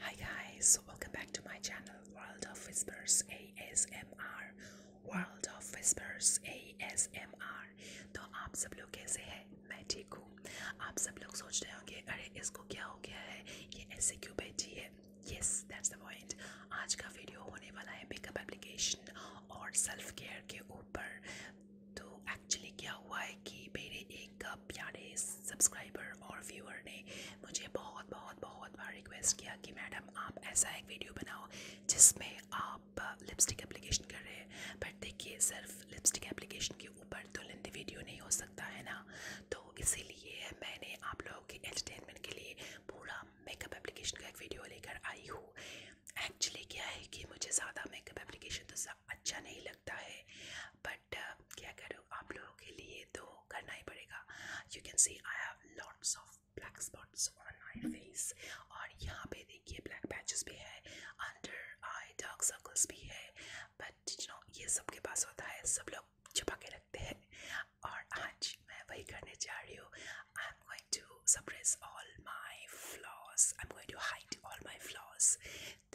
Hi guys, welcome back to my channel World of Whispers ASMR World of Whispers ASMR तो आप सब लोग कैसे हैं मैं ठीक हूँ आप सब लोग सोच रहे होंगे अरे इसको क्या हो गया है ये ऐसे क्यों बैठी है यस दैट्स द पॉइंट आज का वीडियो होने वाला है मेकअप एप्लीकेशन और सेल्फ केयर के ऊपर तो एक्चुअली क्या हुआ है कि मेरे एक प्यारे सब्सक्राइबर और व्यूअर ने मुझे बहुत बहुत बहुत बार रिक्वेस्ट किया कि मैडम आप ऐसा एक वीडियो बनाओ जिसमें आप लिपस्टिक एप्लीकेशन कर रहे हैं पर देखिए सिर्फ लिपस्टिक एप्लीकेशन के ऊपर तो लेंदी वीडियो नहीं हो सकता है ना तो इसीलिए मैंने आप लोगों के एंटरटेनमेंट के लिए पूरा मेकअप एप्लीकेशन का एक वीडियो लेकर आई हूँ एक्चुअली क्या है कि मुझे ज़्यादा मेकअप एप्लीकेशन तो अच्छा नहीं लगता है बट uh, क्या करो आप लोगों के लिए तो करना ही पड़ेगा you can see I have lots of black spots on my face और यहाँ पे देखिए ब्लैक पैचेस भी है अंडर आई डार्क सर्कल्स भी है बट नो ये सब के पास होता है सब लोग छुपा के सकते हैं और आज मैं वही करने जा रही हूँ I am going to suppress all my flaws I am going to hide all my flaws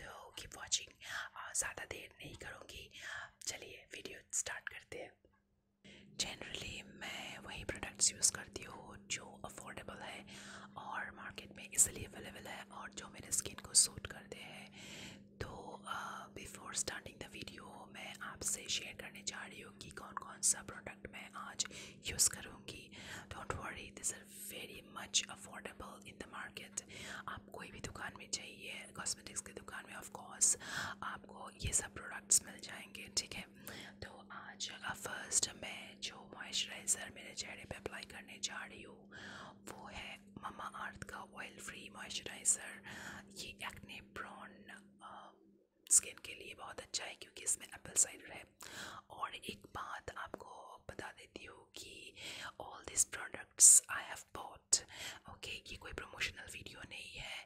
तो कीप वॉचिंग ज़्यादा देर नहीं करूँगी चलिए वीडियो स्टार्ट करते हैं जनरली मैं वही प्रोडक्ट्स यूज़ करती हूँ जो अफोर्डेबल है और मार्केट में इसलिए अवेलेबल है और जो मेरे स्किन को सूट करते हैं तो बिफोर स्टार्टिंग द वीडियो मैं आपसे शेयर करने जा रही हूँ रही हूँ कि कौन कौन सा प्रोडक्ट मैं आज यूज़ करूँगी don't worry this are very much affordable in the market आप कोई भी दुकान में चाहिए कॉस्मेटिक्स की दुकान में ऑफकोर्स आपको ये सब प्रोडक्ट्स मिल जाएंगे ठीक है तो आज फर्स्ट uh, मैं जो मॉइस्चराइज़र मेरे चेहरे पर अप्लाई करने जा रही हूँ वो है ममा अर्थ का ऑयल फ्री मॉइस्चराइज़र ये एक्ने प्रॉन स्किन के लिए बहुत अच्छा है क्योंकि इसमें एप्पल साइडर है और एक बात आपको बता देती हूँ कि all this products I have bought okay ये कोई प्रमोशनल वीडियो नहीं है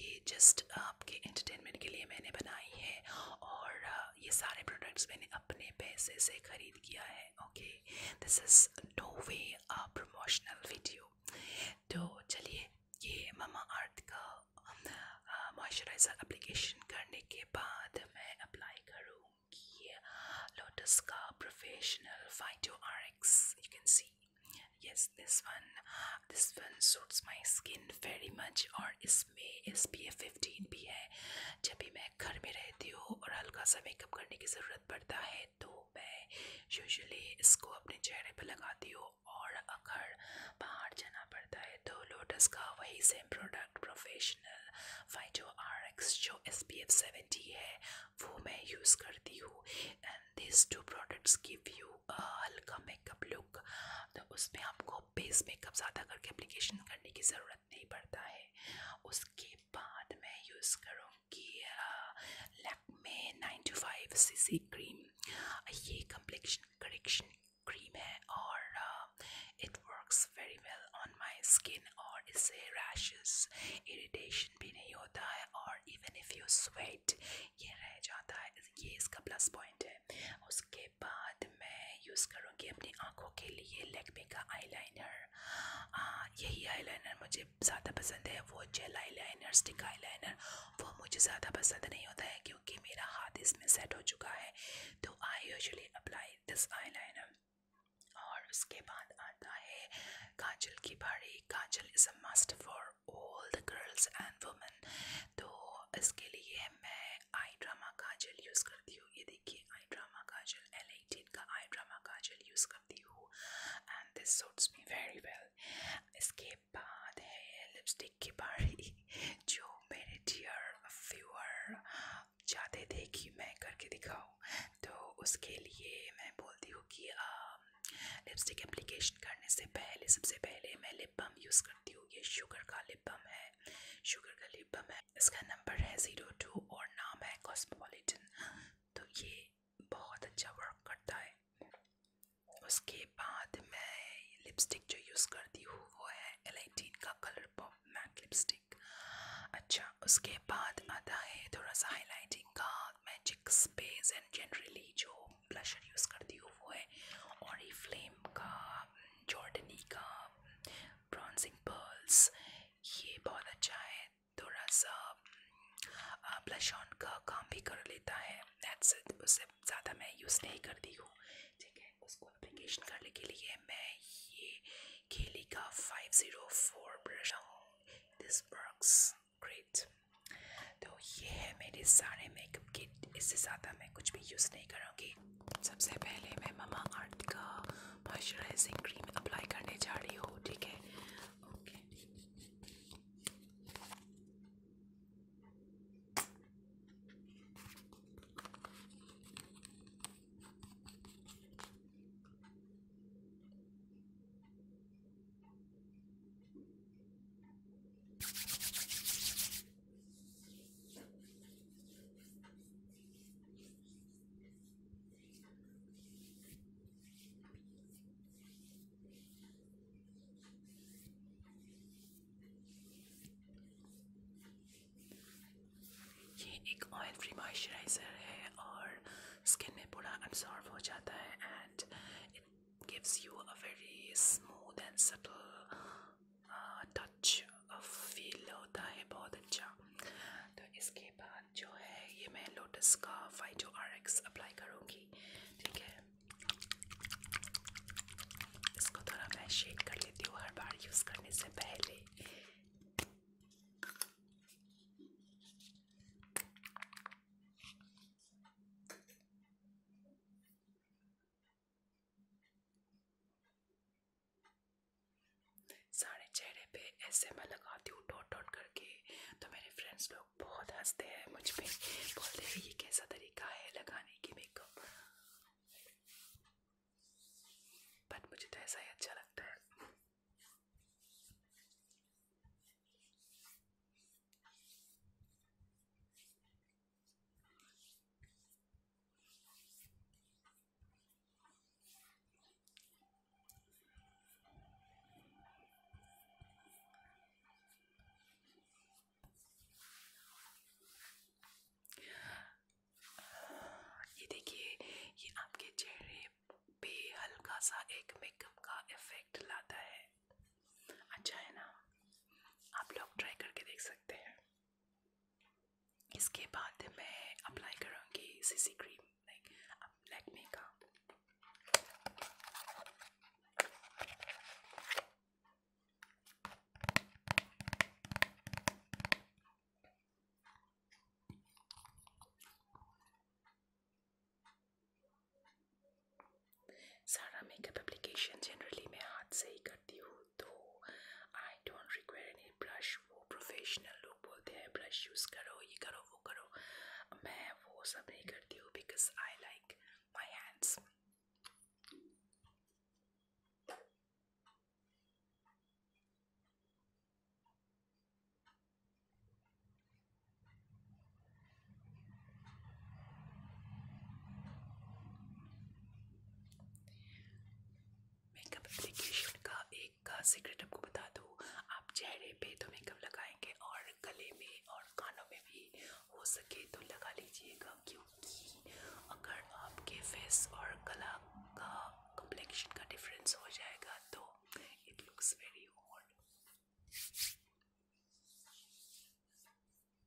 ये जस्ट आपके एंटरटेनमेंट के लिए मैंने बनाई है और ये सारे प्रोडक्ट्स मैंने अपने पैसे से ख़रीद किया है okay this is no way promotional video तो चलिए ये मामा आर्ट का मॉइस्चराइज़र अप्लीकेशन करने के बाद मैं अप्लाई करूँगी लोटस का professional phyto R X you can see yes this one this one suits my skin very much और इसमें एस पी एफ फिफ्टीन भी है जब भी मैं घर में रहती हूँ और हल्का सा मेकअप करने की ज़रूरत पड़ता है तो मैं यूजली इसको अपने चेहरे पे लगाती हूँ और अगर बाहर जाना पड़ता है तो लोटस का वही same product professional phyto R X जो एस पी एफ सेवेंटी है वो मैं यूज़ करती हूँ and this two products give you हल्का मेकअप लुक तो उसमें आपको बेस मेकअप ज़्यादा करके एप्लीकेशन करने की ज़रूरत नहीं पड़ता है उसके बाद मैं यूज़ करूँ आपकी Lakme nine two five C C cream ये कम्प्लेक्शन करेक्शन क्रीम है और it works very well on my skin और इससे रैशेस इरिटेशन भी नहीं होता है और इवन इफ़ यू स्वेट ये रह जाता है ये इसका प्लस पॉइंट है उसके बाद मैं यूज़ करूँगी अपनी आँखों के लिए लेकमे का आईलाइनर हाँ, यही आईलाइनर मुझे मुझे ज़्यादा पसंद है वो gel eyeliner stick eyeliner वो मुझे ज़्यादा पसंद नहीं होता है क्योंकि मेरा हाथ इसमें सेट हो चुका है तो I usually apply this eyeliner और उसके बाद आता है काजल की भाड़ी kajal is a must for all the girls and women तो इसके लिए मैं आई ड्रामा काजल यूज़ करती हूँ ये देखिए eye drama kajal L shade का आई ड्रामा काजल यूज़ करती हूँ and this suits me very well इसके बाद है लिपस्टिक की बारी जो मेरे डियर व्यूअर चाहते थे कि मैं करके दिखाऊँ तो उसके लिए मैं बोलती हूँ कि आ, लिपस्टिक एप्लीकेशन करने से पहले सबसे पहले मैं लिप बम यूज़ करती हूँ ये शुगर का लिप बम है शुगर का लिप बम है इसका नंबर है ज़ीरो टू और नाम है कॉस्मोपोलिटन तो ये बहुत अच्छा वर्क करता है उसके बाद मैं लिपस्टिक जो यूज़ करती हूँ वो है एलाइटीन e का कलर पॉप मैट लिपस्टिक अच्छा उसके बाद आता है थोड़ा सा हाईलाइटिंग का मैजिक स्पेस एंड जनरली जो ब्लशर यूज़ करती हूँ वो है और फ्लेम का जॉर्डनी का ब्रॉन्जिंग पर्ल्स ये बहुत अच्छा है थोड़ा सा ब्लश ऑन का काम भी कर लेता है दैट्स उससे ज़्यादा मैं यूज़ नहीं करती हूँ ठीक है उसको एप्लीकेशन करने के लिए मैं ये केली का फाइव ज़ीरो फोर ब्रश हूँ दिस वर्क्स ग्रेट तो ये है मेरे सारे मेकअप किट इससे ज़्यादा मैं कुछ भी यूज़ नहीं करूँगी सबसे पहले मैं ममा आर्ट का मॉइस्चराइजिंग क्रीम अप्लाई करने जा रही हो ठीक है ओके ये एक ऑयल फ्री मॉइस्चराइज़र है और स्किन में पूरा अब्सॉर्ब हो जाता है and it gives you a very smooth and subtle touch feel होता है बहुत अच्छा तो इसके बाद जो है ये मैं लोटस का फाइटो आर एक्स अप्लाई करूँगी ठीक है इसको थोड़ा मैं शेड कर लेती हूँ हर बार यूज़ करने से पहले सारे चेहरे पे ऐसे मैं लगाती हूँ डॉट डॉट करके तो मेरे फ्रेंड्स लोग बहुत हंसते हैं मुझ पे बोलते हैं ये कैसा तरीका है लगाने की मेकअप बट मुझे तो ऐसा ही अच्छा लगता है ये देखिए ये आपके चेहरे पे हल्का सा एक मेकअप का इफेक्ट लाता है अच्छा है ना आप लोग ट्राई करके देख सकते हैं इसके बाद मैं अप्लाई करूँगी सीसी क्रीम जनरली मैं हाथ से ही करती हूँ तो आई डोंट रिक्वायर वाले ब्रश वो प्रोफेशनल लोग बोलते हैं ब्रश यूज़ करो ये करो वो करो मैं वो सब नहीं करती हूँ because I like my hands makeup application का एक सीक्रेट आपको बता दूँ आप चेहरे पे तो मेकअप लगाएंगे और गले में और कानों में भी हो सके तो लगा लीजिएगा क्योंकि अगर आपके फेस और गला का कंप्लेक्शन का डिफरेंस हो जाएगा तो इट लुक्स वेरी ऑड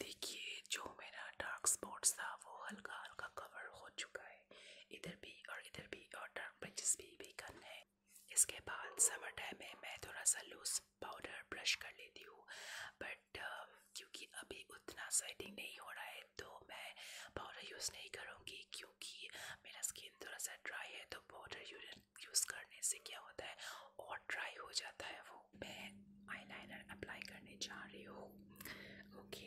देखिए जो मेरा डार्क स्पॉट्स था वो हल्का हल्का कवर हो चुका है इधर भी और इधर भी और डार्क ब्रजेस भी वीकन है इसके बाद समर टाइम में मैं थोड़ा सा लूज पाउडर ब्रश कर लेती हूँ बट uh, क्योंकि अभी उतना सेटिंग नहीं हो रहा है तो मैं पाउडर यूज़ नहीं करूँगी क्योंकि मेरा स्किन थोड़ा सा ड्राई है तो पाउडर यूज़ करने से क्या होता है और ड्राई हो जाता है वो मैं आईलाइनर अप्लाई करने जा रही हूँ okay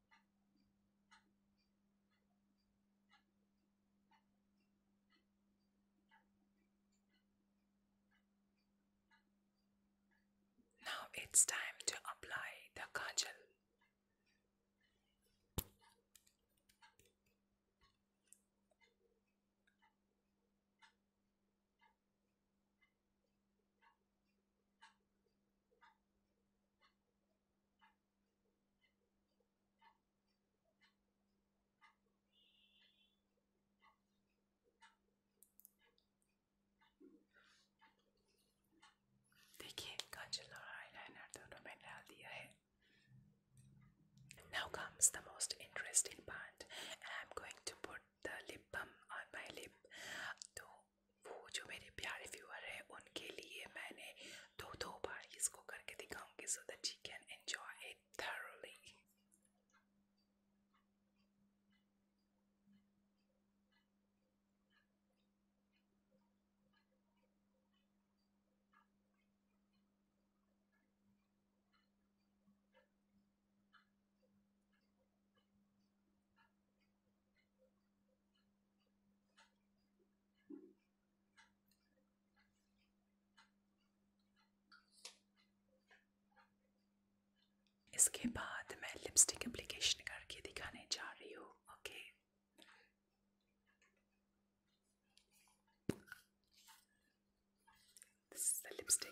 Now it's time to apply the kajal. देखिए काजल और आईलाइनर दोनों में डाल Now comes the most interesting part. I'm going to put the lip balm on my lip. तो वो जो मेरे प्यारे व्यूअर हैं उनके लिए मैंने दो दो बार इसको करके दिखाऊंगी so that you can enjoy it thoroughly इसके बाद मैं लिपस्टिक एप्लीकेशन करके दिखाने जा रही हूँ okay okay. This is the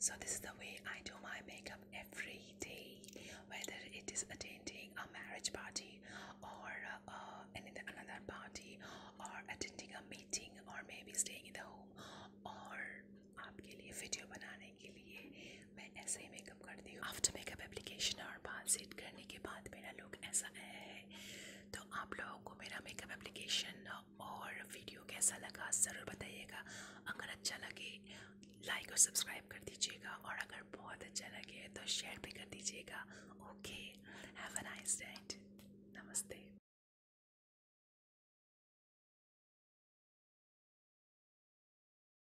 So this is the way I do my makeup every day, whether it is attending a marriage party or uh, another party or attending a meeting or maybe staying in the home or आपके लिए video बनाने के मैं ऐसे ही makeup करती हूँ after makeup application और बाल सेट करने के बाद मेरा लुक ऐसा आया है तो आप लोगों को मेरा मेकअप एप्लीकेशन और वीडियो कैसा लगा ज़रूर बताइएगा अगर अच्छा लगे लाइक और सब्सक्राइब कर दीजिएगा और अगर बहुत अच्छा लगे तो शेयर भी कर दीजिएगा okay have a nice night नमस्ते